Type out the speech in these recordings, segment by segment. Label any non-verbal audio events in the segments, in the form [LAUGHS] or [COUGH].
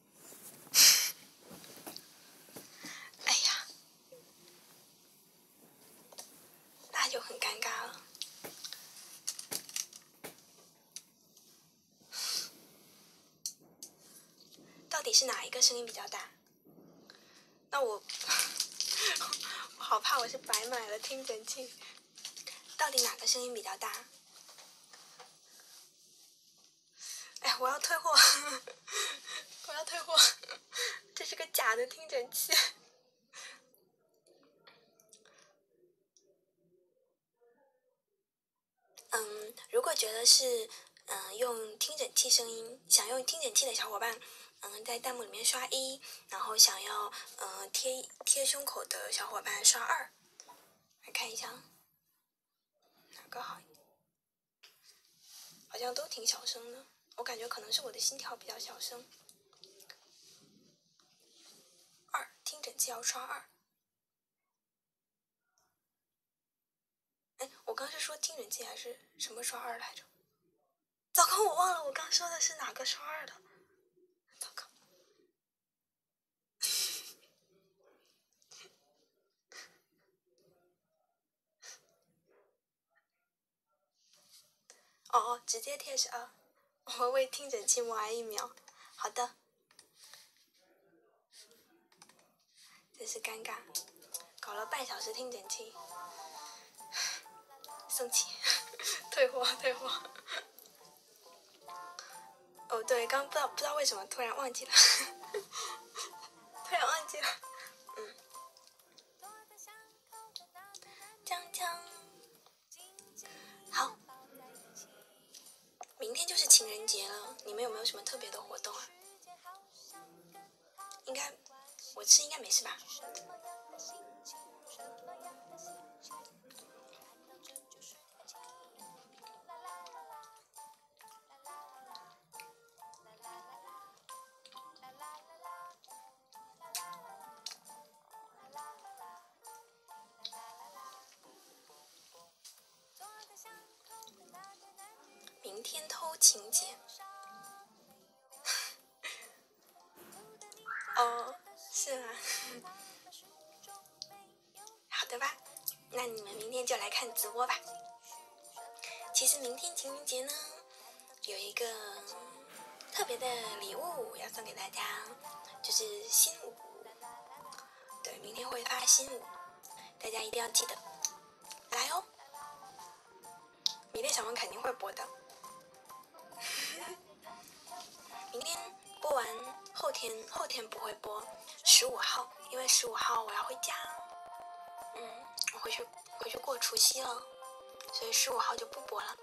[LAUGHS] 哎呀，那就很尴尬了。到底是哪一个声音比较大？那我，我好怕我是白买了听诊器。到底哪个声音比较大？哎我要退货！我要退货！这是个假的听诊器。嗯，如果觉得是嗯用听诊器声音，想用听诊器的小伙伴，嗯，在弹幕里面刷一，然后想要嗯贴贴胸口的小伙伴刷二，来看一下。哪个好？一点？好像都挺小声的，我感觉可能是我的心跳比较小声。二听诊器要刷二。哎，我刚是说听诊器还是什么刷二来着？糟糕，我忘了我刚说的是哪个刷二的。糟糕。哦哦，直接贴上。[LAUGHS] 我为听诊器默哀一秒，好的。真是尴尬，搞了半小时听诊器，生 [SIGHS] 气，[LAUGHS] 退货退货。哦，对，刚不知道不知道为什么突然忘记了，突然忘记了。嗯，好，明天就是情人节了，你们有没有什么特别的活动啊？应该，我吃应该没事吧？明天偷情节。[LAUGHS] 哦，是吗？好的吧，那你们明天就来看直播吧。其实明天情人节呢，有一个特别的礼物要送给大家，就是新舞。对，明天会发新舞，大家一定要记得来哦。明天小王肯定会播的。明天播完，后天后天不会播，十五号，因为十五号我要回家。嗯，我回去回去过除夕了，所以十五号就不播了。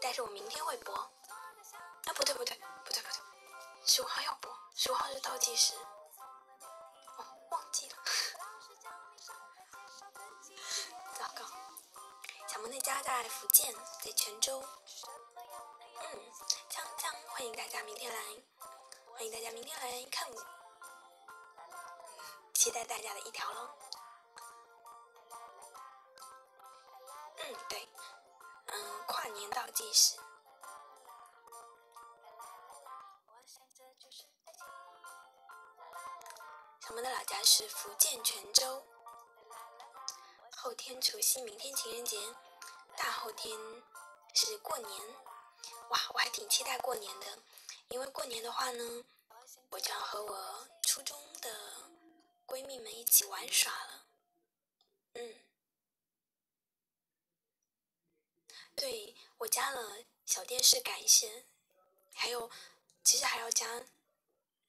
但是我明天会播。啊，不对不对不对不对，十五号要播，十五号是倒计时。哦，忘记了。[LAUGHS] 糟糕，小萌那家在福建，在泉州。嗯，锵锵，欢迎大家明天来，欢迎大家明天来看我，期待大家的一条喽。嗯，对，嗯，跨年倒计时。我们的老家是福建泉州。后天除夕，明天情人节，大后天是过年。哇，我还挺期待过年的，因为过年的话呢，我就要和我初中的闺蜜们一起玩耍了。嗯，对我加了小电视感谢，还有，其实还要加。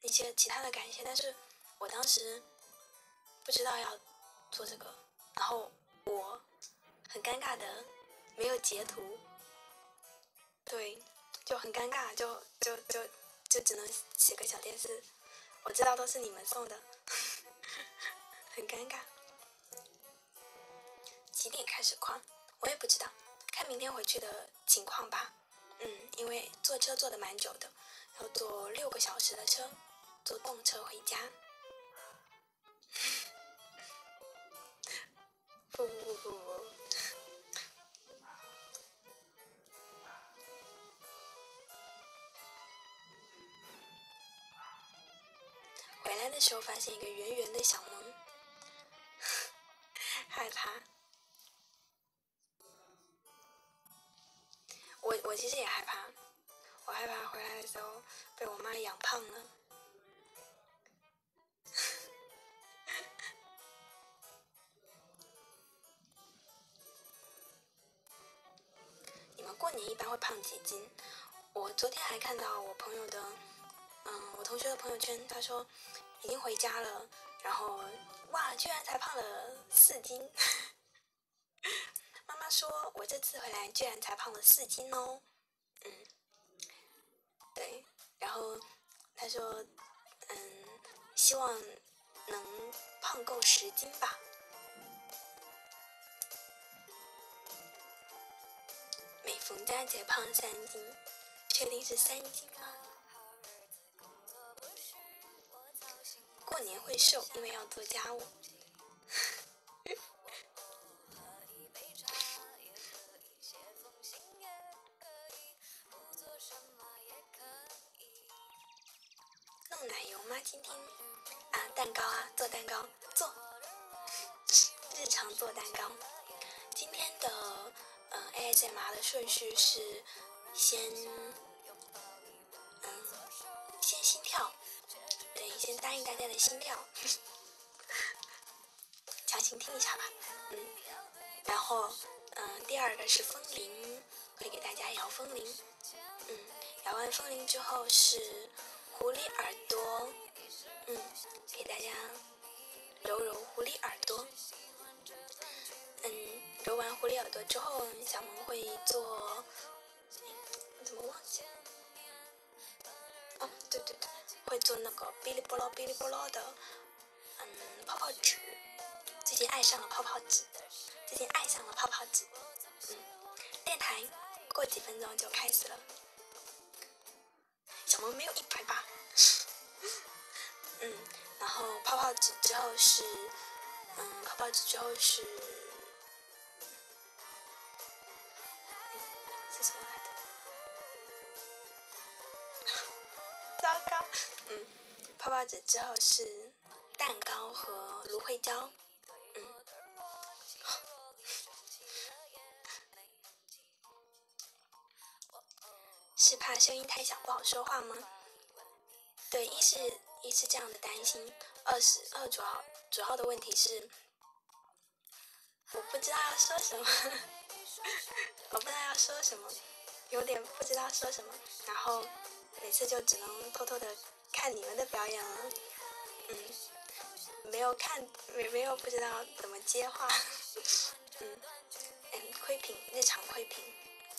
一些其他的感谢，但是我当时不知道要做这个，然后我很尴尬的没有截图，对，就很尴尬，就就就就只能写个小电视，我知道都是你们送的，很尴尬。几点开始框？我也不知道，看明天回去的情况吧。嗯，因为坐车坐的蛮久的，要坐六个小时的车，坐动车回家。不不不不不，回来的时候发现一个圆圆的小萌，[LAUGHS] 害怕。我我其实也害怕，我害怕回来的时候被我妈养胖了。你们过年一般会胖几斤？我昨天还看到我朋友的，嗯，我同学的朋友圈，他说已经回家了，然后哇，居然才胖了。四斤，妈妈说我这次回来居然才胖了四斤哦，嗯，对，然后她说，嗯，希望能胖够十斤吧。每逢佳节胖三斤，确定是三斤吗？过年会瘦，因为要做家务。弄奶油吗？今天啊，蛋糕啊，做蛋糕做，日常做蛋糕。今天的。嗯，AI 在麻的顺序是先，嗯，先心跳，等于先答应大家的心跳，强行听一下吧，嗯，然后，嗯，第二个是风铃，会给大家摇风铃，嗯，摇完风铃之后是狐狸耳朵，嗯，给大家揉揉狐狸耳朵。嗯，揉完狐狸耳朵之后，小萌会做，怎么忘？记？哦，对对对，会做那个哔哩啵啦哔哩啵啦的，嗯，泡泡纸。最近爱上了泡泡纸，最近爱上了泡泡纸。嗯，电台过几分钟就开始了。小萌没有一百八。嗯，然后泡泡纸之后是，嗯，泡泡纸之后是，是什么来的？[LAUGHS] 糟糕，嗯，泡泡纸之后是蛋糕和芦荟胶，[LAUGHS] 是怕声音太小不好说话吗？对，一是，一是这样的担心；二是，二主要主要的问题是，我不知道要说什么，[LAUGHS] 我不知道要说什么，有点不知道说什么，然后每次就只能偷偷的看你们的表演了，嗯，没有看，没没有不知道怎么接话，[LAUGHS] 嗯，嗯，窥屏日常窥屏。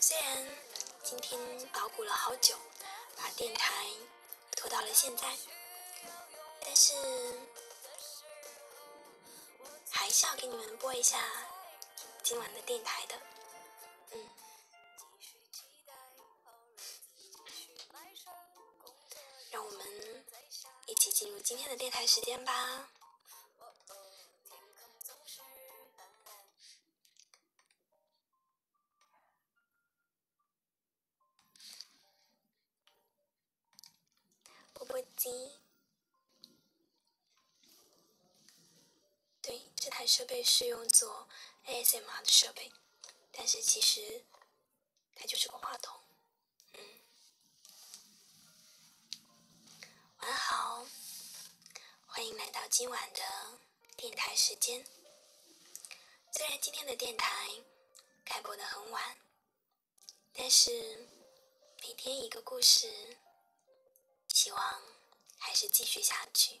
虽然今天捣鼓了好久，把电台拖到了现在，但是还是要给你们播一下今晚的电台的。嗯，让我们一起进入今天的电台时间吧。钵钵鸡。对，这台设备是用作 ASMR 的设备，但是其实它就是个话筒。嗯，晚上好，欢迎来到今晚的。电台时间，虽然今天的电台开播的很晚，但是每天一个故事，希望还是继续下去。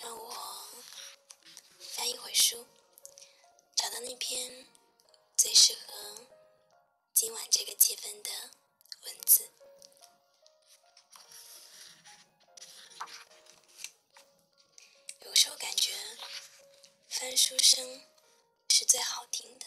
让我翻一会书，找到那篇最适合今晚这个气氛的文字。有时候感觉翻书声是最好听的。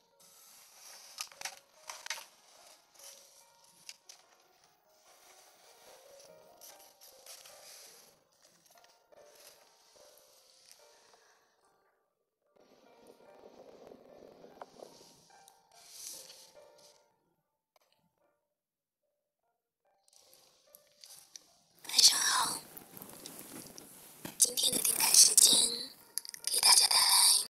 晚上好，今天的电台时间，给大家带来。